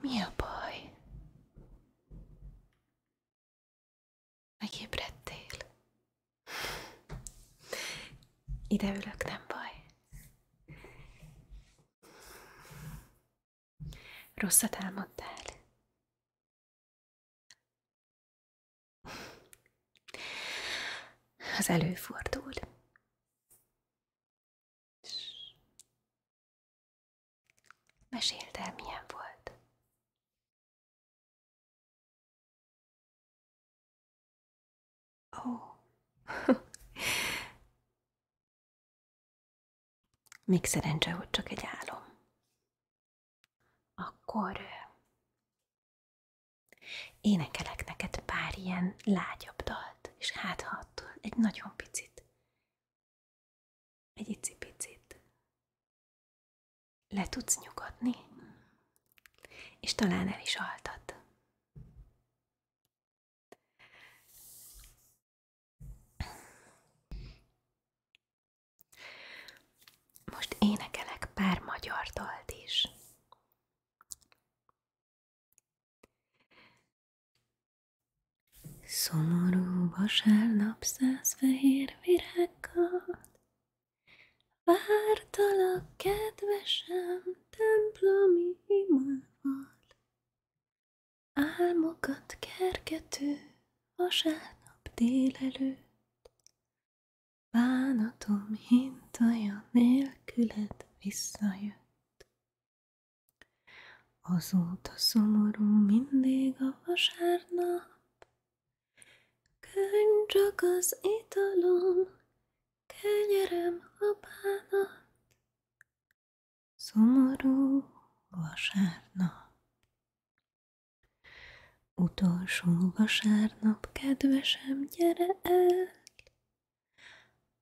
Mi a baj? Megébredtél? Ide ülök, nem baj. Rosszat álmodtál? Az előfordul. Mesélte, el, milyen volt. Ó. Oh. Még szerencse, hogy csak egy álom. Akkor énekelek neked pár ilyen lágyabb dalt, és hát ha egy nagyon picit, egy icipicit le tudsz nyugodni, és talán el is altat. Most énekelek pár magyar dalt is. Szomorú vasárnap száz fehér virággal Vártalak, kedvesem, templomi imával Álmokat kergető vasárnap délelőtt, Bánatom hintaja nélküled visszajött. Azóta szomorú mindig a vasárnap, Könny csak az italom, kenyerem a bánat, Szomorú vasárnap. Utolsó vasárnap, kedvesem, gyere el,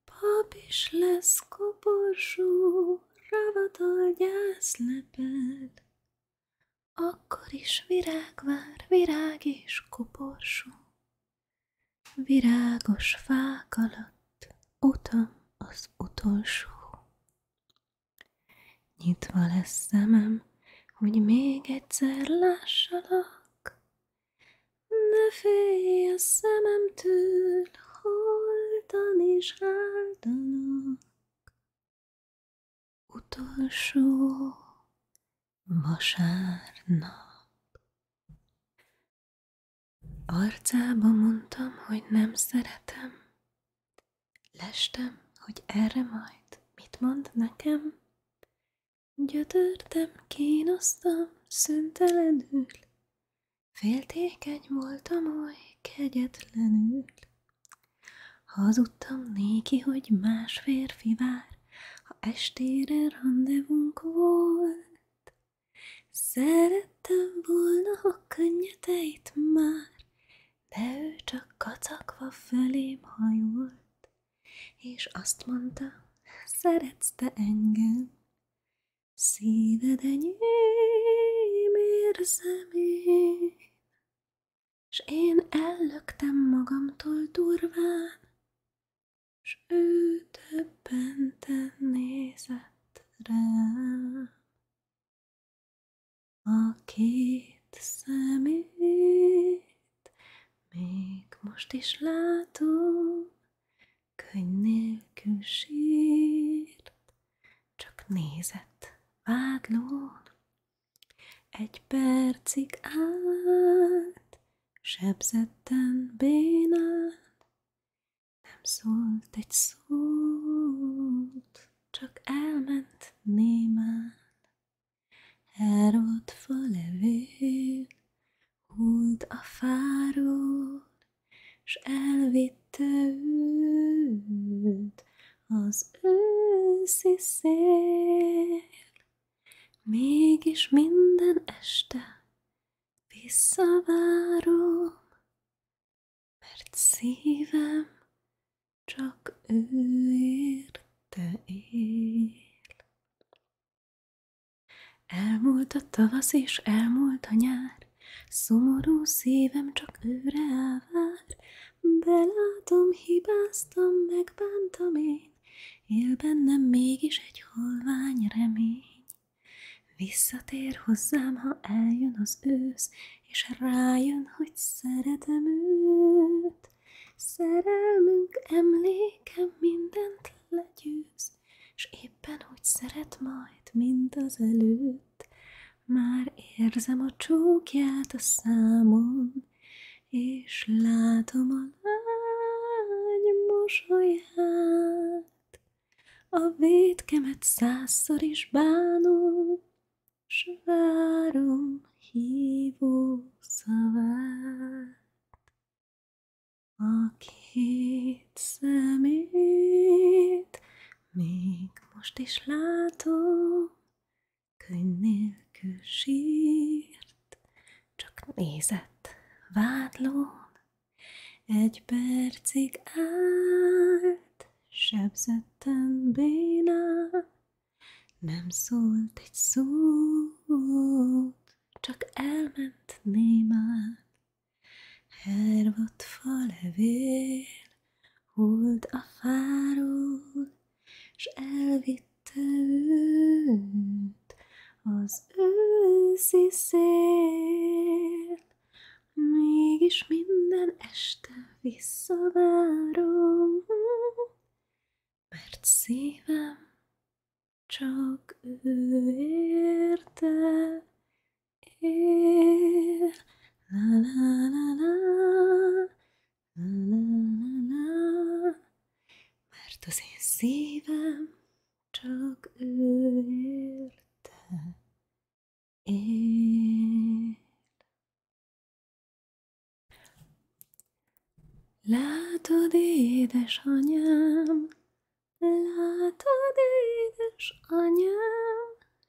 Pap is lesz koporsó, ravatol gyászleped. Akkor is virág vár, virág is koporsó, virágos fák alatt utam az utolsó. Nyitva lesz szemem, hogy még egyszer lássalak, ne félj a szememtől, holtan is áldanak. Utolsó vasárnap. Arcába mondtam, hogy nem szeretem. Lestem, hogy erre majd mit mond nekem? Gyötörtem, kínoztam, szüntelenül. Féltékeny voltam oly kegyetlenül. Hazudtam néki, hogy más férfi vár, ha estére randevunk volt. Szerettem volna, ha könnyeteit már, de ő csak kacagva fölém hajolt, és azt mondta, szeretsz te engem. Szíved enyém érzem én, s én ellöktem magamtól durván, s ő többenten nézett rá, a két szemét még most is látom, könny nélkül sírt, csak nézett vádlón. Egy percig át sebzetten bénán, nem szólt egy szót, csak elment némán. Elrott fa levél, hult a fáról, s elvitte őt az őszi szél. Mégis minden este visszavárom, mert szívem csak ő érte él. Elmúlt a tavasz és elmúlt a nyár, Szomorú szívem csak őre elvár, Belátom, hibáztam, megbántam én, él bennem mégis egy holvány remény. Visszatér hozzám, ha eljön az ősz, és rájön, hogy szeretem őt. Szerelmünk emléke mindent legyőz, és éppen hogy szeret majd, mint az előtt. Már érzem a csókját a számon, és látom a lány mosolyát. A védkemet százszor is bánom, s várom hívó szavát. A két szemét még most is látom, Könyv nélkül sírt, csak nézett vádlón. Egy percig állt, sebzetten bénán. Nem szólt egy szót, csak elment némán. Hervott fa levél, hold a fáról, és elvitte őt az őszi szél. Mégis minden este visszavárom, mert szívem csak ő érte él. Mert az én szívem csak ő érte él. Látod, édesanyám,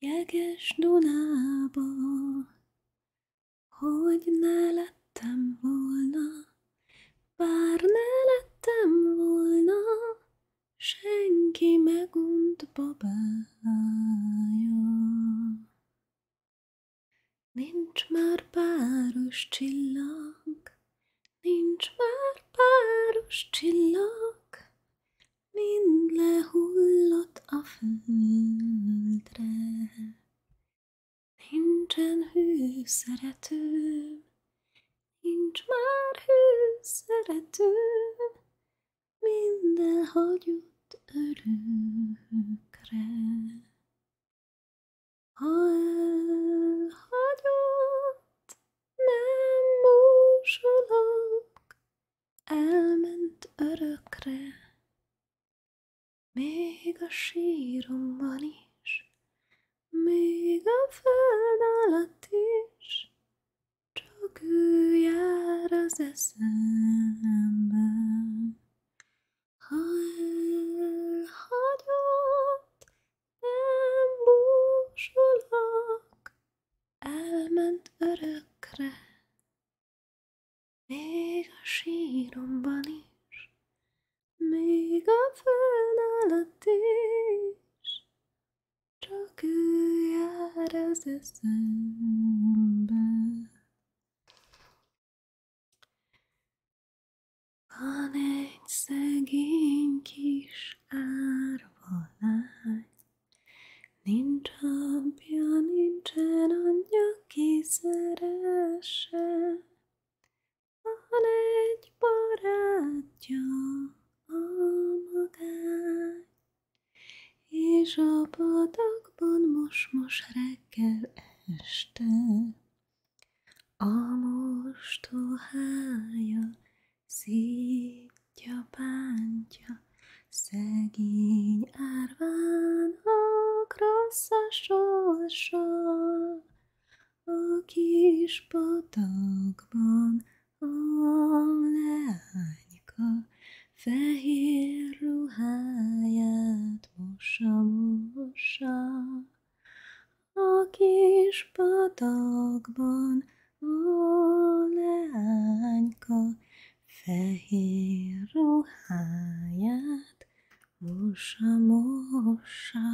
jeges Dunába, hogy ne lettem volna, bár ne lettem volna, senki megunt babája. Nincs már páros csillag, Nincs már páros csillag, mind lehullott a földre. Nincsen hű szerető, nincs már hű szerető, mind elhagyott örökre. Ha elhagyott nem búsulok, elment örökre, még a síromban is, még a föld alatt is, csak ő jár az eszemben. Ha elhagyott nem búsulok, elment örökre, még a síromban is, még a föld alatt is, csak ő jár az eszembe. Van egy szegény kis árva lány, nincs apja, nincsen anyja, ki szeresse. Van egy barátja, a magány, és a patakban most-most reggel este a mostohája szítja, bántja, szegény árvának rossz a sorsa. A kis patakban a leányka fehér ruháját mossa, mossa a kis patakban a leányka fehér ruháját mossa, mossa.